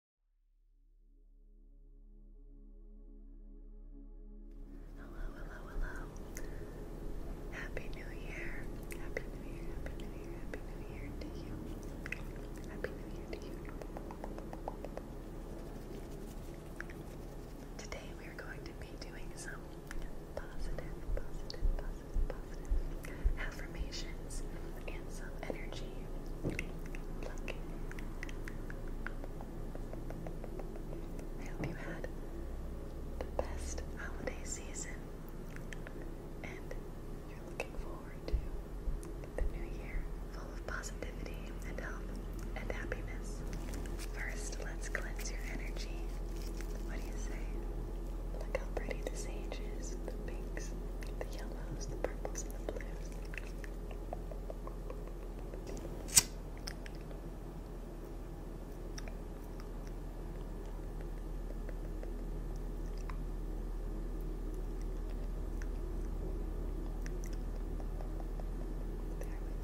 Hello, hello, hello. Happy New Year. Happy New Year, Happy New Year, Happy New Year to you. Happy New Year to you. Today we are going to be doing some positive, positive, positive, positive affirmations some energy. Pluck. I hope you had the best holiday season and you're looking forward to the new year full of positivity and health and happiness. First, let's cleanse your energy. What do you say? Look how pretty the sage is the pinks, the yellows, the purples the blues. There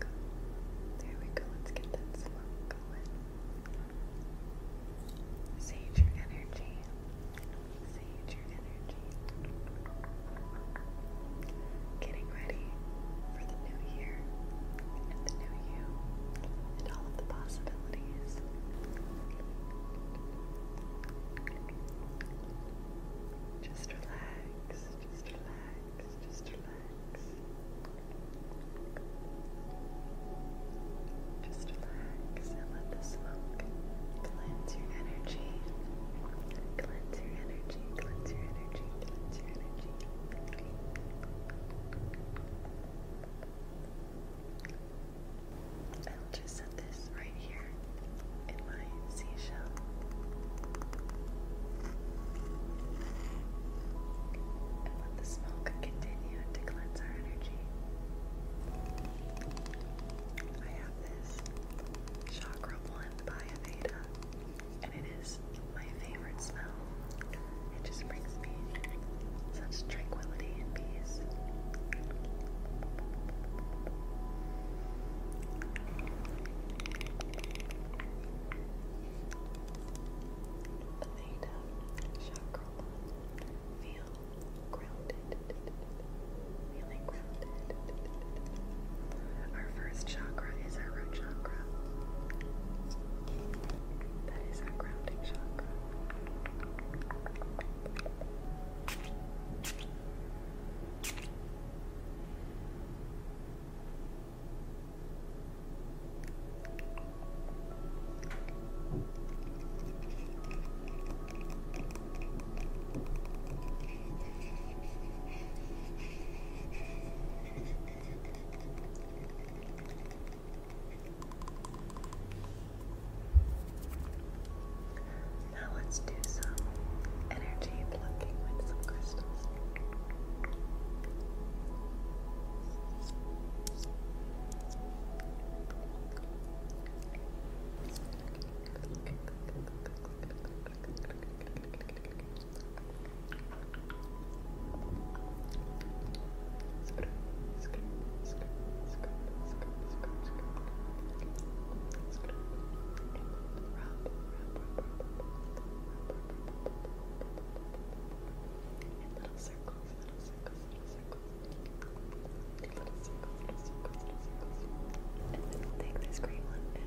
we go. There we go. Let's get that smoke going. Save your energy. See your energy. Getting ready for the new year and the new you and all of the possibilities. Just relax, just relax, just relax. Just relax and let the smoke cleanse your energy. Cleanse your energy, cleanse your energy, cleanse your energy. I'll just set this right here in my seashell. And let the smoke continue to cleanse our energy. I have this Chakra one by Aveda, and it is my favorite smell. It just brings me such tranquility and peace. Aveda Chakra Blend. Feel grounded, feeling grounded. Our first chakra is our root chakra. That is our grounding chakra. Now let's do some energy plucking with some crystals little circles, little circles, little circles take this green one and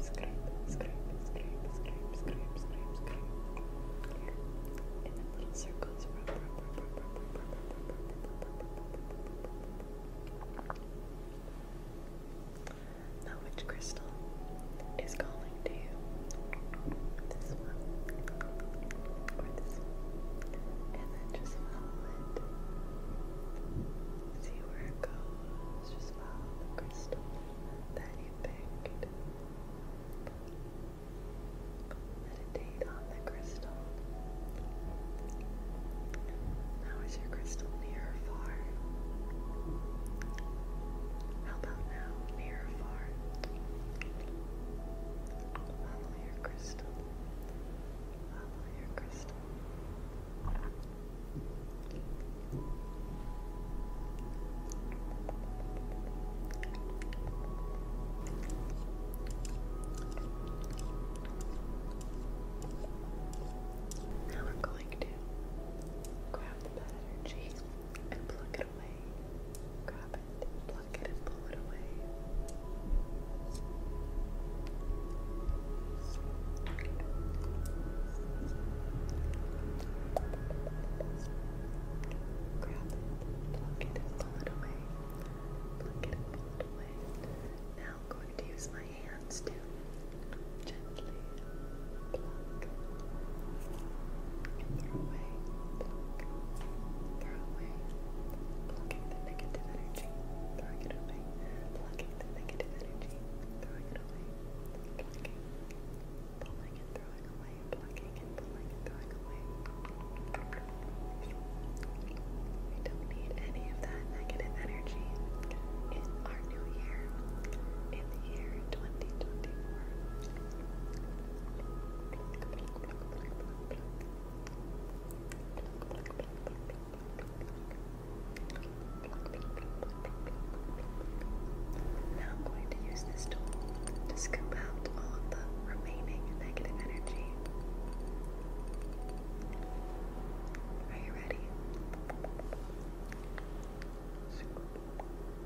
scrape, scrape, scrape, scrape, scrape, scrape, scrape. Here. And then little circles. Rub, rub, rub, rub, rub, rub, rub, rub, rub, Now which crystal is calling? going to this one or this one, and then just follow it. See where it goes. Just follow the crystal that you picked. Meditate on the crystal. Now is your crystal near or far? How about now? Near or far? Follow your crystal. Follow your crystal. Now we're going to grab the bad and pluck it Grab it, pluck it, and pull it away. Grab it, pluck it, pull it away. Now I'm going to use my hands to gently, pluck, away, plucking the negative energy, throwing it away, plucking the negative energy, throwing it away, plucking, pulling and throwing away, plucking and pulling and throwing away. We don't need any of that negative energy in our new year, in the year 2024. Now I'm going to use this tool to scoop out all of the remaining negative energy. Are you ready?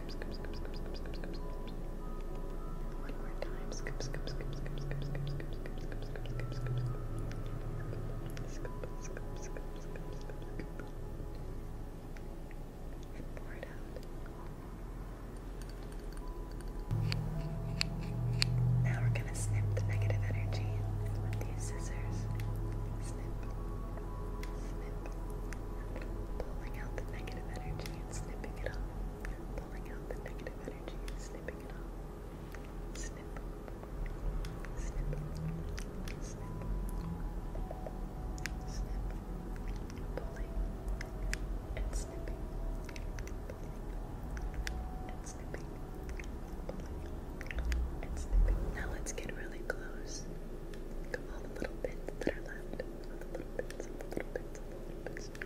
One more time. Now we're gonna snip the negative energy with these scissors. Snip, snip, pulling out the negative energy snipping it off, pulling out the negative energy, snipping it off, snip, snip, snip, snip, pulling and snipping, and snipping, pulling and snipping. Now let's get really close. Look all the little bits that are left little bits, little bits, little bits. And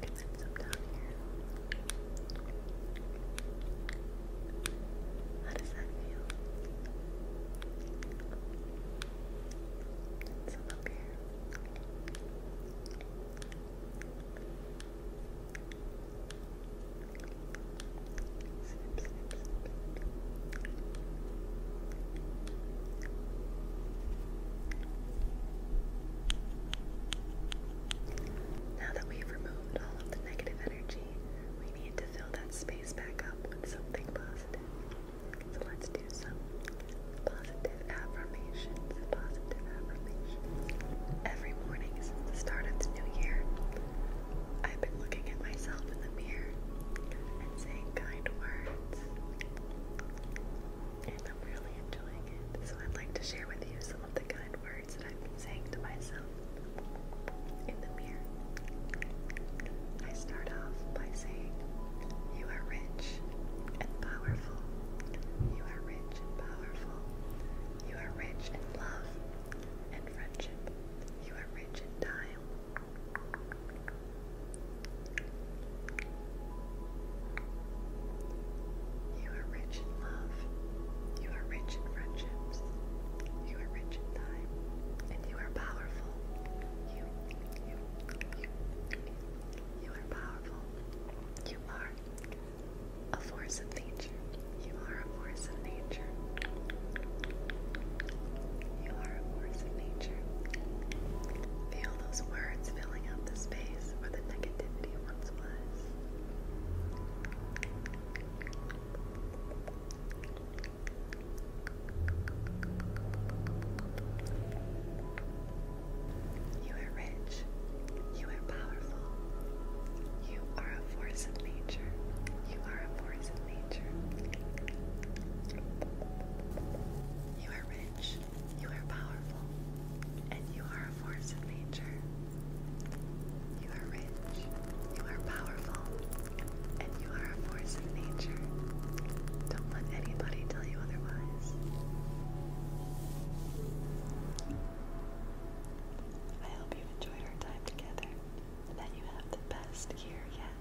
then some down here. How does that feel? And some up here. Now that we've removed all of the negative energy, we need to fill that space back up with something positive. So let's do some Positive affirmations. Every morning since the start of the new year, I've been looking at myself in the mirror and saying kind words. And I'm really enjoying it. So I'd like to share with you some of the kind words that I've been saying to myself in the mirror. I start off by saying, You are rich and powerful. You are rich and powerful. You are rich in love and friendship. You are rich in time. You are rich in love. You are rich in friendships. You are rich in time. And you are powerful. You, you, you, you are powerful. You are a force of nature. You are a force of nature. You are a force of nature. Feel those words filling up the space where the negativity once was. You are rich. You are powerful. You are a force of nature. You are a force of nature. You are rich. You are powerful. And you are a force of nature. You are rich. You are powerful. And you are a force of nature. Don't let anybody tell you otherwise. I hope you've enjoyed our time together and that you have the best year yet.